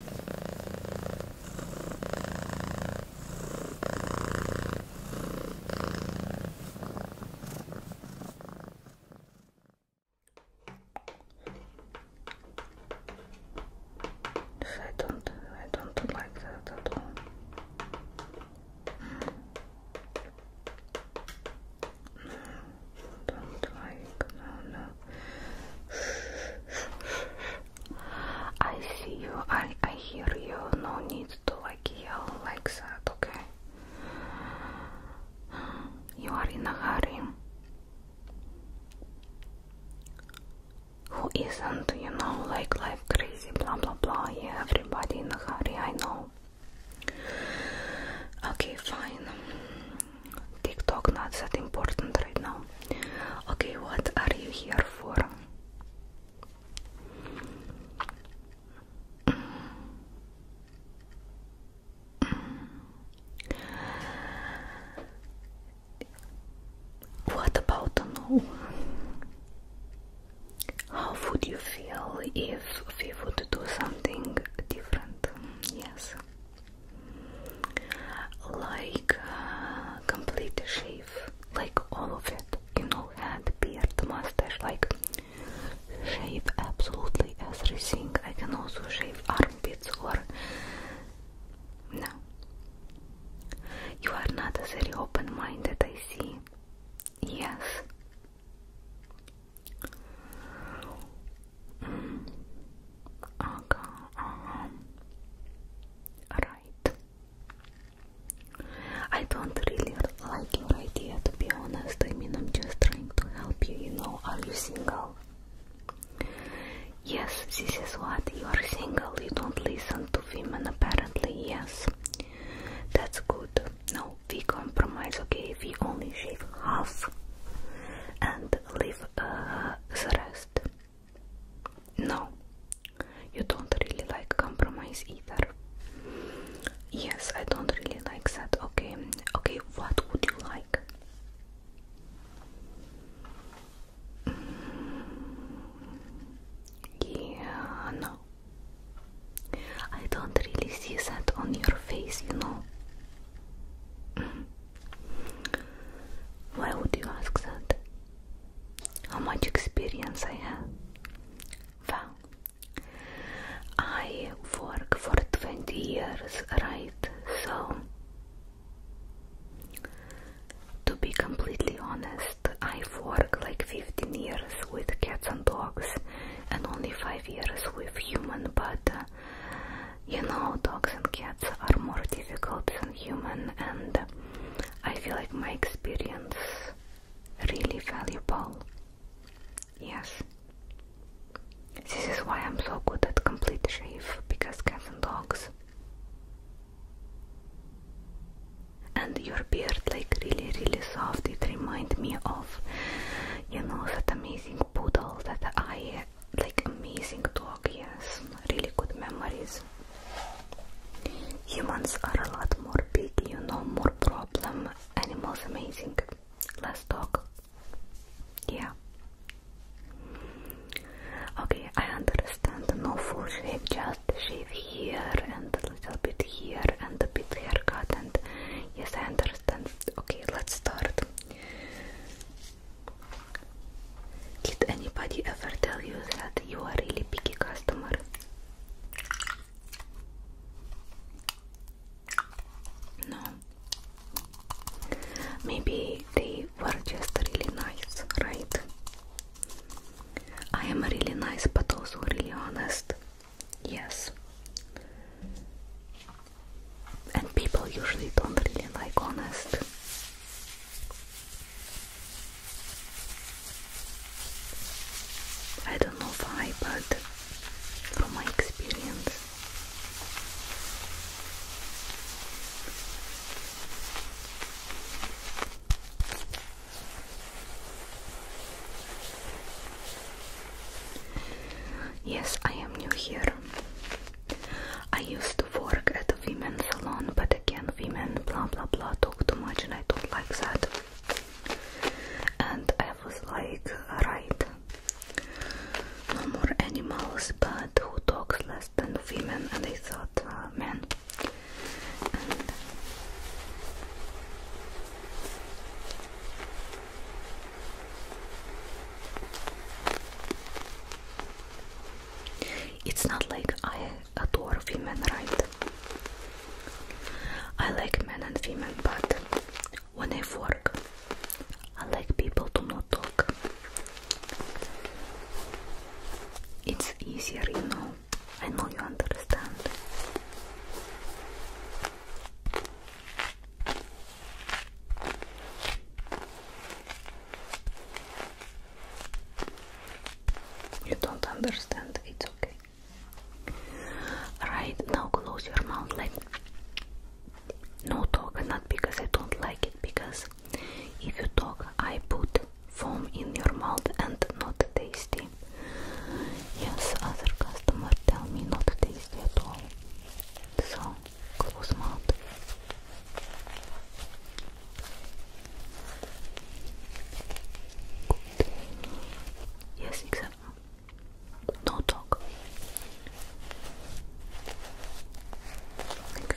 I don't, I don't like that at all. Mm. don't like, no, I see you, I, I hear you, no need to like yell like that, okay? You are in a hurry. Who isn't, you know, like life crazy, blah blah blah, yeah, everybody in a hurry, I know. Okay, fine. TikTok not that important right now. Okay, what are you here for? What about to How would you feel if we would do something different? Yes like uh, complete shave, like all of it, you know, head, beard, mustache, like shave absolutely everything. I can also shave armpits or no. You are not a very open-minded, I see. Yes aga uh, I don't really like your idea to be honest. I mean, I'm just trying to help you. You know, are you single? Yes, this is what you are single. You don't listen to women, apparently. Yes, that's good. No, we compromise. Okay, we only shave half and leave uh, the rest. No, you don't really like compromise either. Yes, I don't really like that. Okay, okay, what would you like? Mm, yeah, no. I don't really see that on your face, you know. Mm. Why would you ask that? How much experience I have? Well, I work for 20 years, right? So, to be completely honest, I work like 15 years with cats and dogs and only 5 years with human, but uh, you know, dogs and cats are more difficult than human, and I feel like my experience really valuable. Yes. This is why I'm so good at complete shave, because cats and dogs. And your beard, like really, really soft. It reminds me of, you know, that amazing poodle that I like amazing dog, yes, really good memories. Humans are a lot more big, you know, more problem. Animals amazing. Let's talk. Yeah. Okay, I understand. No full shave, just shave here and a little bit here and a bit cut. and yes, I understand. Okay, let's start. Did anybody ever tell you that you are a really picky customer? No. Maybe they were just really nice, right? I am really nice but also really honest. Yes and people usually don't really like honest. I don't know why, but from my experience, yes, I am new here. I used to work at a women's salon, but again, women blah blah blah talk too much, and I don't like that. And I was like, right, no more animals, but who talks less than women? And I thought, uh, men. It's not like I adore women, right? I like men and women, but when I work, I like people to not talk. It's easier, you know. I know you understand. You don't understand, it's okay. Right now, close your mouth like no talk, not because I don't like it, because if you talk, I put foam in your mouth and not tasty. Yes, other customer tell me not tasty at all. So close mouth. Good. Yes, except no talk. Like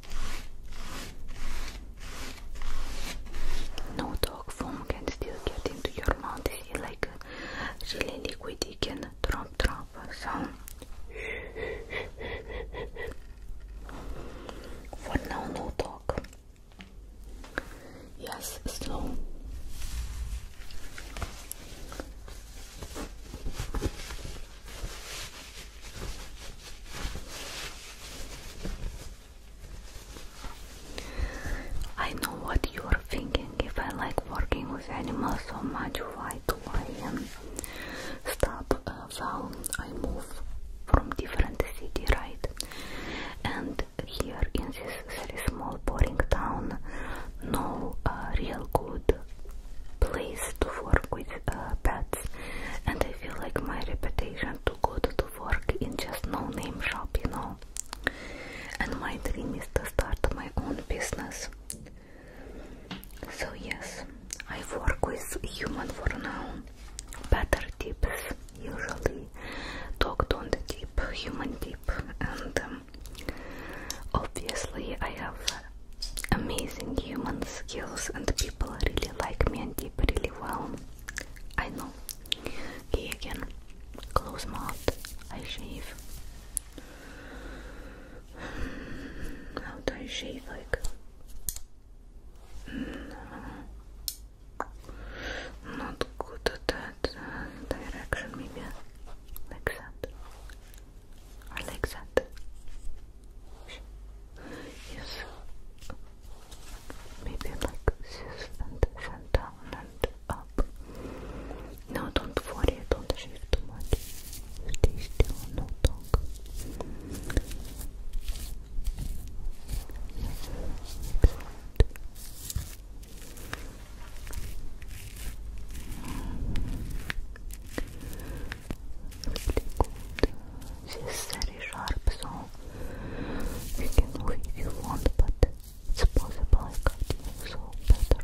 No dog foam can still get into your mouth. Eh? like uh, really liquidy can drop drop uh, sound. For now, no dog. Yes, slow. I know what you're thinking. If I like working with animals so much, why do I stop uh, I move from different city, right? And here in this small boring town, no uh, real good place to work with uh, pets, and I feel like my reputation to go to work in just no-name shop, you know. And my dream is to start my own business. So yes, I work with human for now. Better tips usually dog don't deep, human deep, and um, obviously I have amazing human skills and people really like me and did really well. I know. Okay, again. Close mouth. I shave. How do I shave like? Mm, not good at that uh, direction, maybe like our Yes. Maybe like this and and up. No, don't worry, don't shift too much. Stay still, no talk really good. She's sharp, so you can move if but it's possible I can't move, so better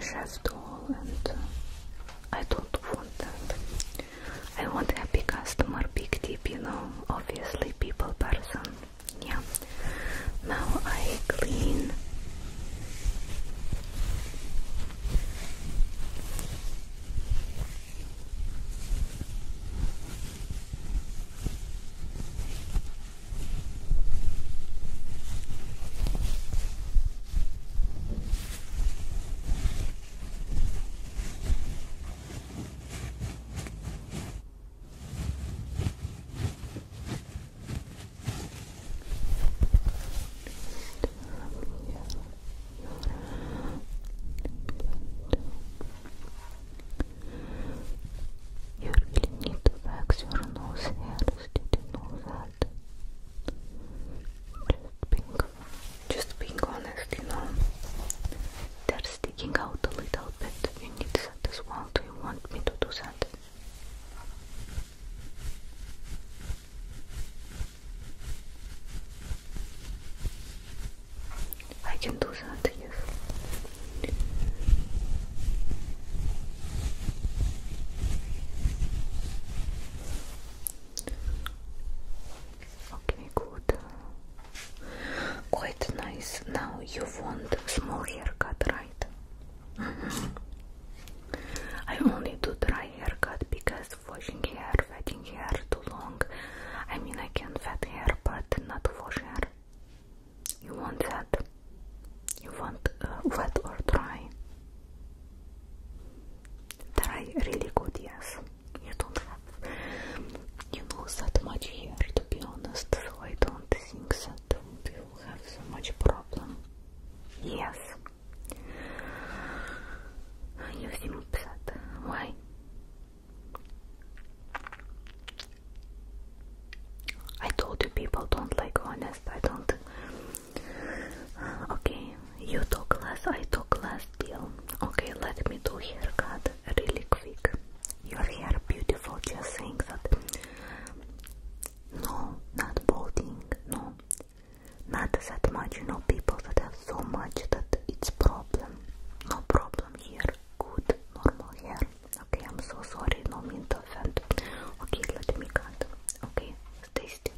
chef doll and uh, I don't want that. I want big customer, big tip, you know, obviously people person. Yeah. Now I clean. Jürgen niet te vaak zijn nose herfst in de nozaten being, just being honest, you know, they're sticking out a little bit. You need that as well. Do you want me to do that? I can do that, yes. Okay, good. Quite nice. Now you want small haircut, right? Mm-hmm. I only do dry haircut because washing hair, wetting hair too long. I mean, I can wet hair, but not wash hair. You want that? You want uh, wet or dry? That are really good, yes. You don't have, you know, that much here. to be honest, so I don't think that you will have so much problem. Yes. You seem upset. Why? I told you people don't like honest. I don't Okay, you talk last. I talk last. deal. Okay, let me do haircut really quick. You're hair beautiful, just think that. No, not balding, no. Not that much, you know, people that have so much that it's problem. No problem here, good, normal hair. Okay, I'm so sorry, no mean to offend. Okay, let me cut. Okay, Stay still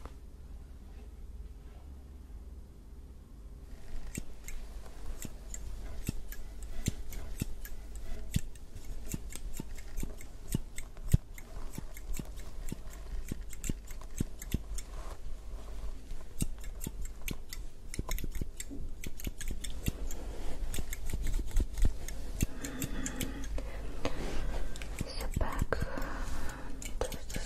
the back to the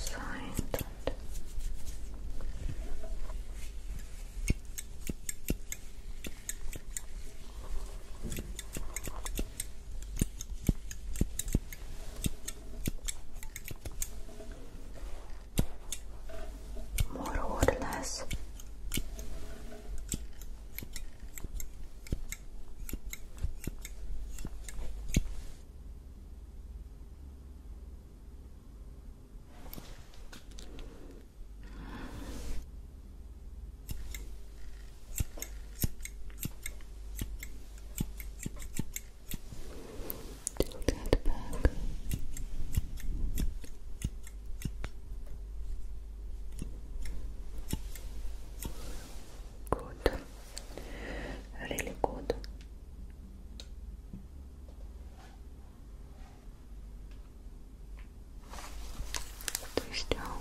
More or less. Tilt that back. Good. Good. Really good. Twist down.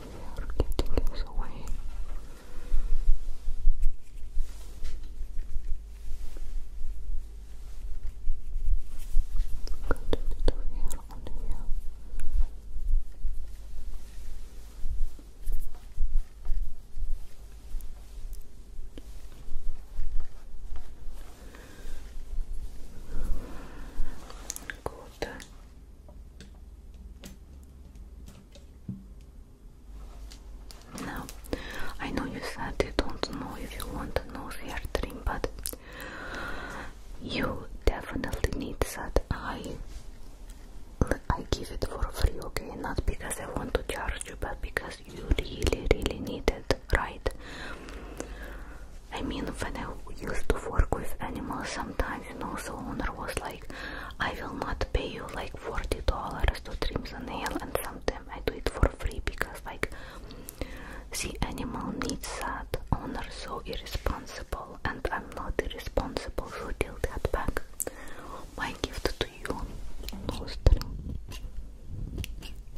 are getting us away. Got a little hair here. Good. Now, I know you said you don't know if you want a nose hair trim, but you definitely need that. I I give it for free, okay? Not because I want to charge you, but because you really, really need it, right? I mean, when I used to work with animals, sometimes time, you know. So owner was like, I will not pay you like forty dollars to trim the nail, and sometimes I do it for free because like the animal needs that. Owner so irresponsible, and I'm not responsible for till that back. My gift to you, no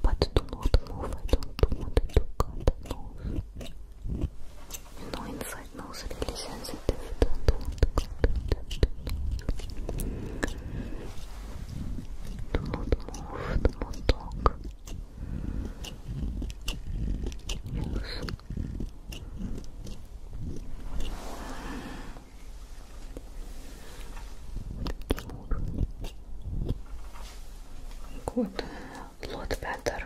But do not move, I don't want to cut the you know, inside nose really sensitive. Don't, don't, don't, do Good, a lot better.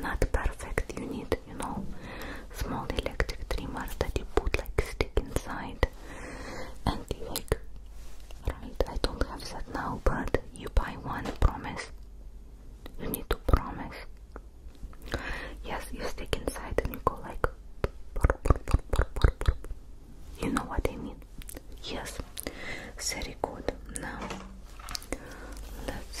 Not perfect, you need you know, small electric trimmers that you put like stick inside and you like, right, I don't have that now, but you buy one, promise, you need to promise, yes, you stick inside and you go like, you know what I mean, yes, very good, now, let's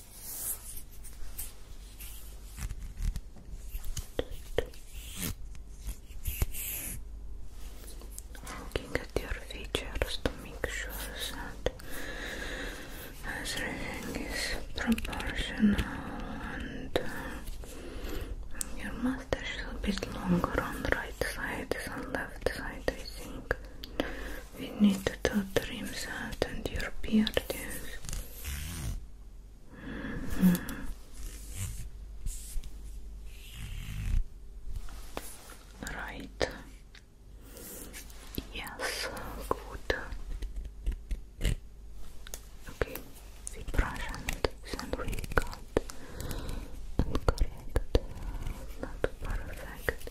Looking at your features to make sure that everything is proportional and uh, your mustache is a longer on the right side than left side I think we need to trim that and your beard, hmm. Right. Yes, good. Okay, we brush and we cut and correct. Not perfect.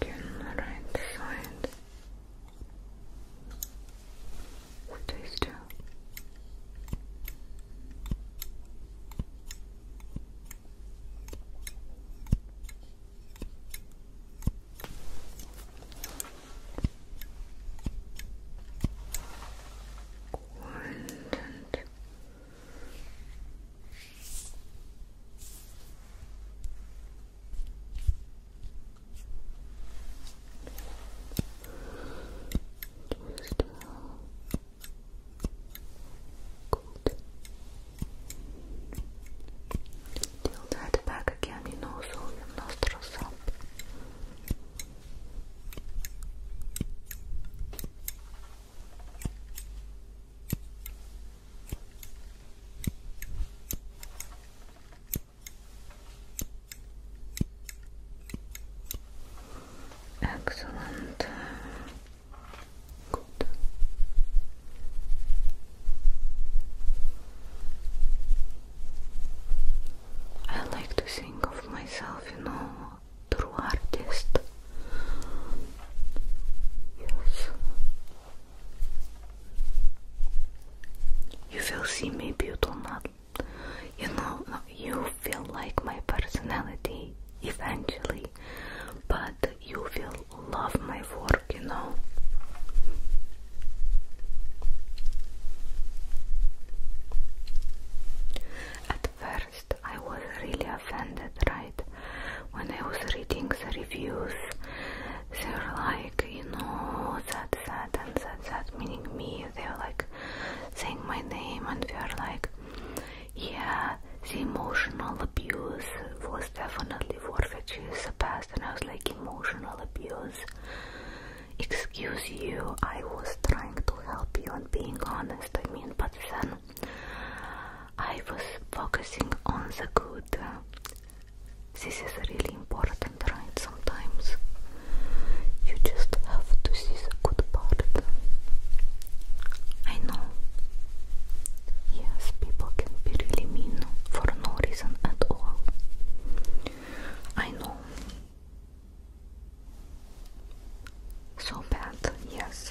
Again, the right side. Stay still. Quiet and Tilt that back again, you know, so your nostrils Excellent. Good. I like to think of myself, you know, true artist. Yes, you will see maybe you do not you know you feel like my personality eventually but you will love my work, you know. At first I was really offended, right? when I was reading the reviews, they were like, you know, that, that, and that, that, meaning me. they were like saying my name, and they were like, yeah, the emotional abuse was definitely worth it. She's the and I was like, emotional abuse. Excuse you, I was trying to help you and being honest. I mean, but then I was focusing on the good. This is really important, right? Sometimes you just have to see the good part. I know. Yes, people can be really mean for no reason at all. I know. So bad, yes.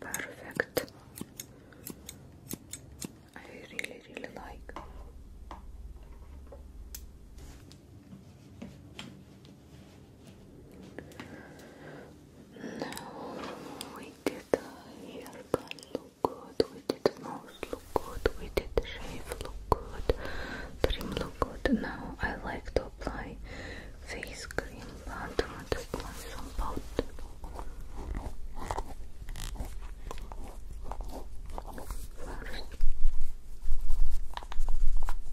Perfect. I really, really like. Now we did a haircut look good, we did nose look good, we did shave look good, trim look good. Now I like to apply face cream, but I'm to apply some powder. First.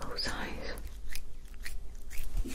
Close eyes. Good.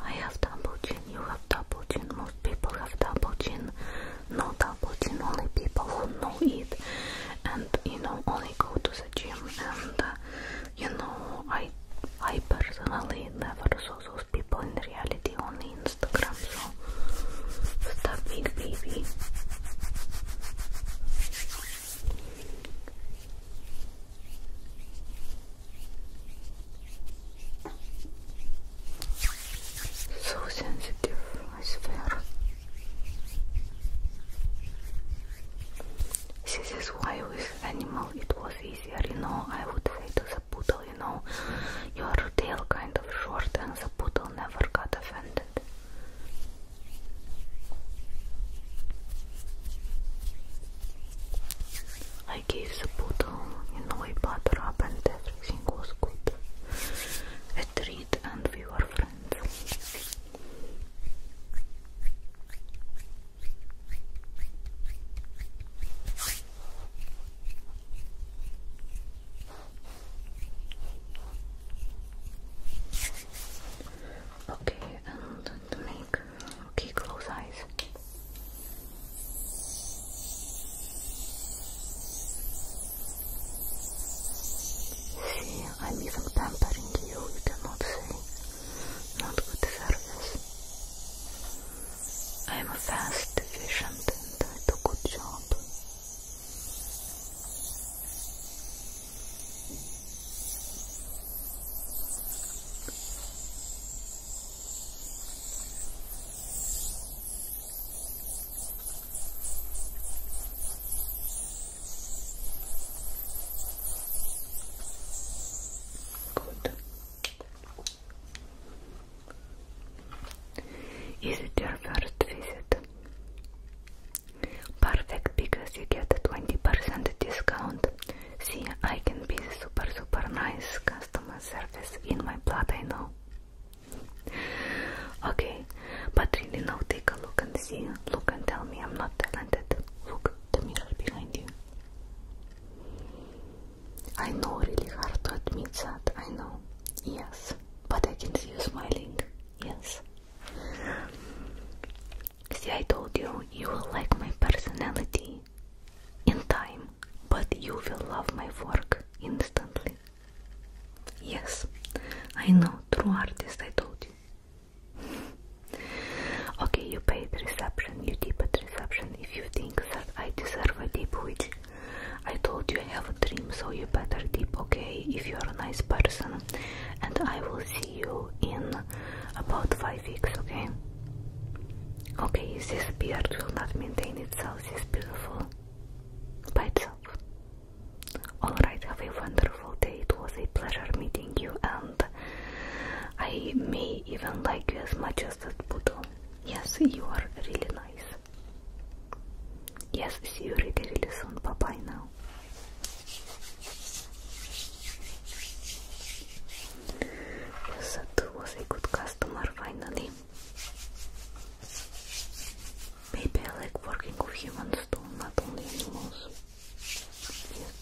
I have double chin, you have double chin, most people have double chin. No double chin, only people who know it and you know only go to the gym and uh, you know I I personally never saw those people in reality only Instagram so stop it baby so sensitive, I swear. This is why with animal it was easier, you know, I would say to the poodle, you know, your tail kind of short and the poodle never got offended. I gave the poodle no butter up and everything was good. A treat and we were friends. Okay, and to make okay, close eyes. See, I'm even tempering you, you cannot see. Not good service. I'm fast, efficient, and I do good job. Good. Is it your first visit? Perfect, because you get a 20% discount. See, I can be super, super nice customer surface in my blood, I know. Okay, but really now take a look and see. Look and tell me I'm not talented. Look the mirror behind you. I know really hard to admit that, I know. Yes, but I can see you smiling. Yes. See, I told you, you will like my personality in time, but you will love my work instantly. Yes, I know, true artist, I told you. okay, you paid reception, you tip at reception. If you think that I deserve a tip, which I told you I have a dream, so you better tip, okay? If you are a nice person, and I will see you in about five weeks, okay? Okay, this beard will not maintain itself, this beautiful by itself. Alright, have a wonderful day. It was a pleasure meeting you, and I may even like you as much as that poodle. Yes, you are really nice. Yes, see you really, really soon. Bye bye now. So too was a good customer finally. Maybe I like working with humans not only animals. Yes.